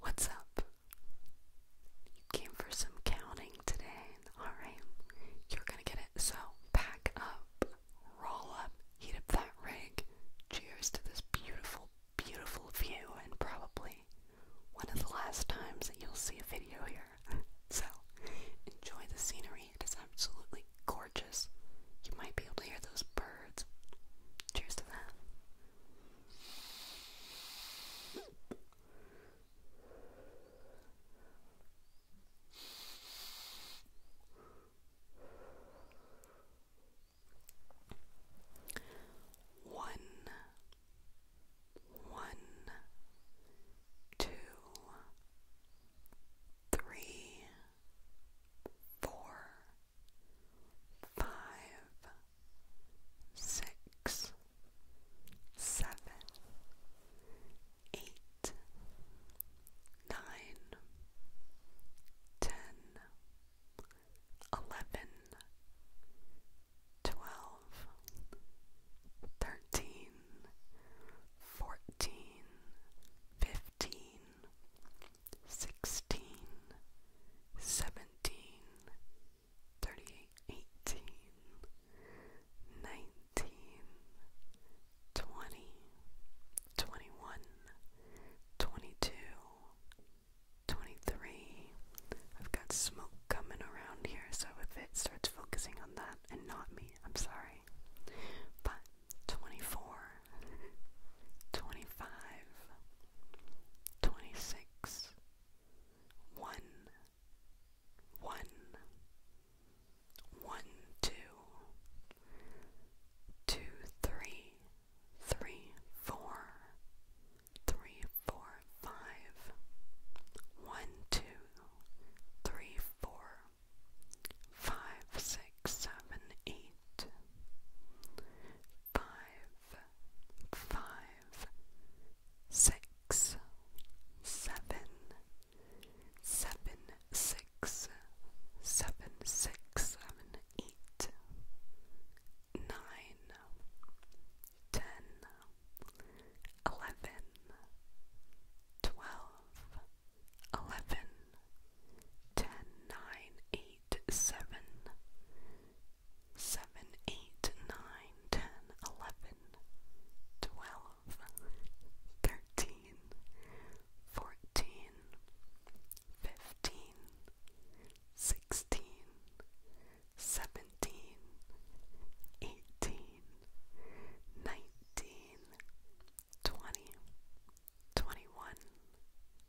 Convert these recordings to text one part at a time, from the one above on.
What's up? You came for some counting today. Alright, you're gonna get it. So, pack up, roll up, heat up that rig. Cheers to this beautiful, beautiful view, and probably one of the last times that you'll see a video here. So, enjoy the scenery, it is absolutely gorgeous. You might be able to hear those birds. Cheers to that. One, one, two, three, four, five, six, seven, eight, nine, ten, eleven, twelve, thirteen, fourteen, fifteen, sixteen, seventeen seventeen, thirty eighteen, nineteen, twenty, twenty one, twenty two, twenty three. I've got smoke coming around here, so if it starts focusing on that and not me, I'm sorry. But 24, 25, 26, is one, one, one, two, two, three, three, four, three, four, five, one, two, three, four, five, six, seven, eight five, five, six, seven, seven, six, seven, six, seven, eight, nine, ten, eleven, twelve, eleven, ten, nine, eight, seven seven, eight, nine, ten, eleven, twelve, thirteen, fourteen, fifteen, sixteen, seventeen, eighteen, nineteen, twenty, twenty-one,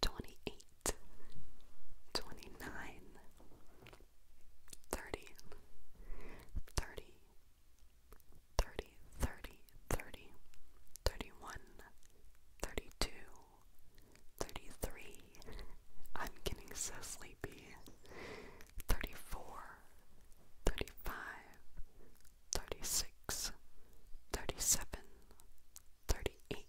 28 29 30 31 32 33 I'm getting so sleepy 34 35 36 37 38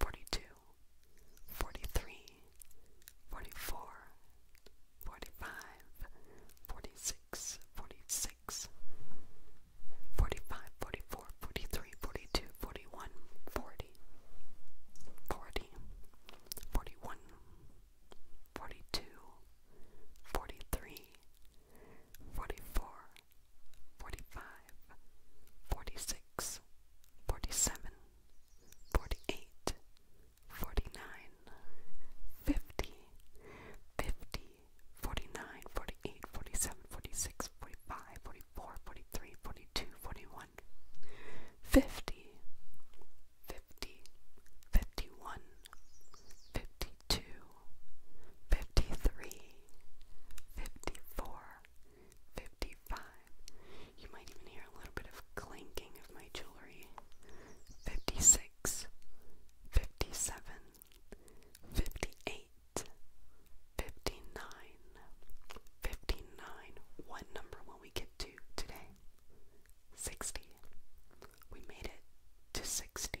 42, 43, 44, 45, 46, 46, 45, 44, 43, 42, 41, 40, 40, 41, 42, 43, 44, forty-five, forty-six, forty-seven, forty-eight, forty-nine, fifty, fifty, forty-nine, forty-eight, forty-seven, forty-six, forty-five, forty-four, forty-three, forty-two, forty-one, fifty, fifty, fifty-one, fifty-two, fifty-three, fifty-four. 53 55. You might even hear a little bit of clanking of my jewelry. 56, 57, 58, 59, 59. One number will we get to today? 60. We made it to 60.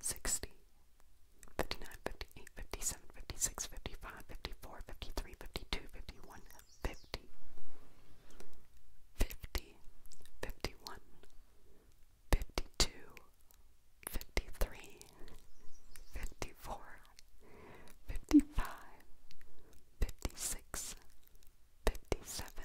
60, 56, 55, 54, 53, 52, 51, 50, 50, 51, 52, 53, 54, 55, 56, 57,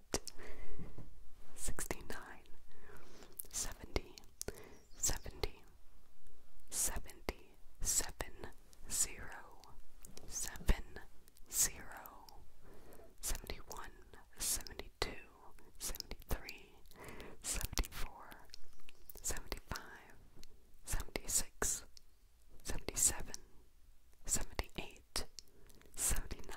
69 70 70 70 7 71 72 73 74 75 76 77 78 79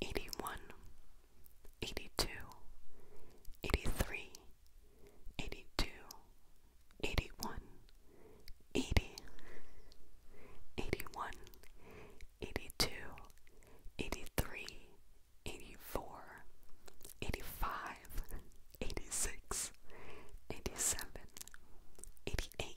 81 82 83 84 85 86 87 88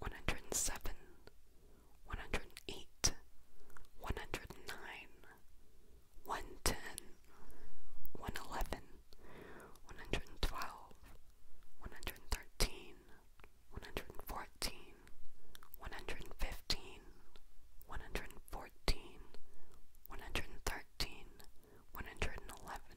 one hundred and seven, one hundred and eight, one hundred and nine, one ten, one eleven, one hundred and twelve, one hundred and thirteen, one hundred and fourteen, one hundred and fifteen, one hundred and fourteen, one hundred and thirteen, one hundred and eleven.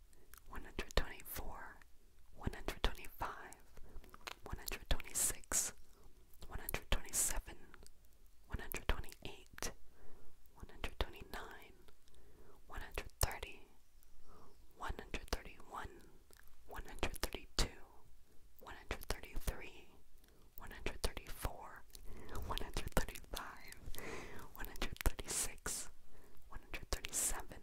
124, 125, 126, 127, 128, 129, 130, 131, 132, 133, 134, 135, 136, 137,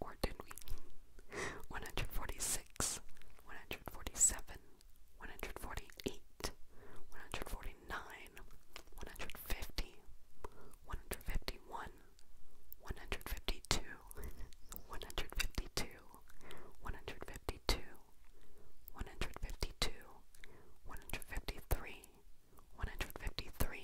or did we? 146, 147, 148, 149, 150, 151, 152, 152, 152, 152, 153, 153,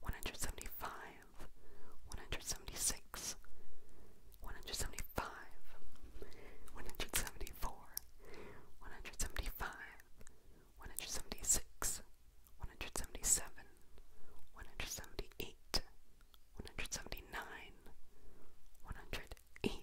175, 176, 175, 174, 175, 176, 177, 178, 179, 180, 181,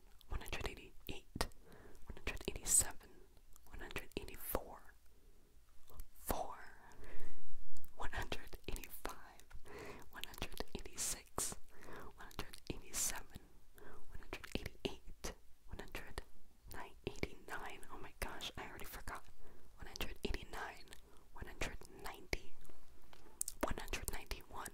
one hundred eighty eight, one hundred eighty seven, one hundred eighty four, four, one hundred eighty five, one hundred eighty six, one hundred eighty seven, one hundred eighty eight, one hundred eighty nine. Oh my gosh, I already forgot. One hundred eighty nine, one hundred ninety, one hundred ninety one.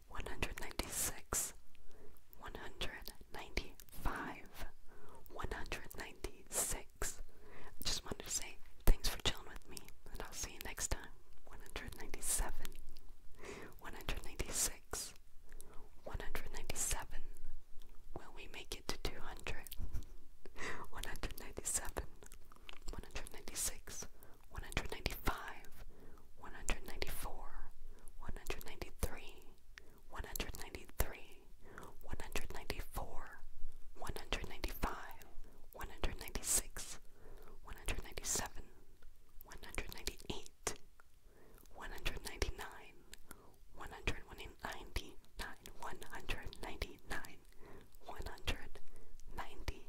one hundred ninety six, one hundred ninety five, one hundred ninety six. just wanted to say thanks for chilling with me, and I'll see you next time. One hundred ninety seven, one hundred ninety six, one hundred ninety seven. Will we make it to two hundred? One hundred ninety seven, one hundred ninety six one hundred ninety five, one hundred ninety four, one hundred ninety three, one hundred ninety three, one hundred ninety four, one hundred ninety five, one hundred ninety six, one hundred ninety seven, one hundred ninety eight, one hundred ninety nine, one hundred ninety nine, one hundred ninety nine. 199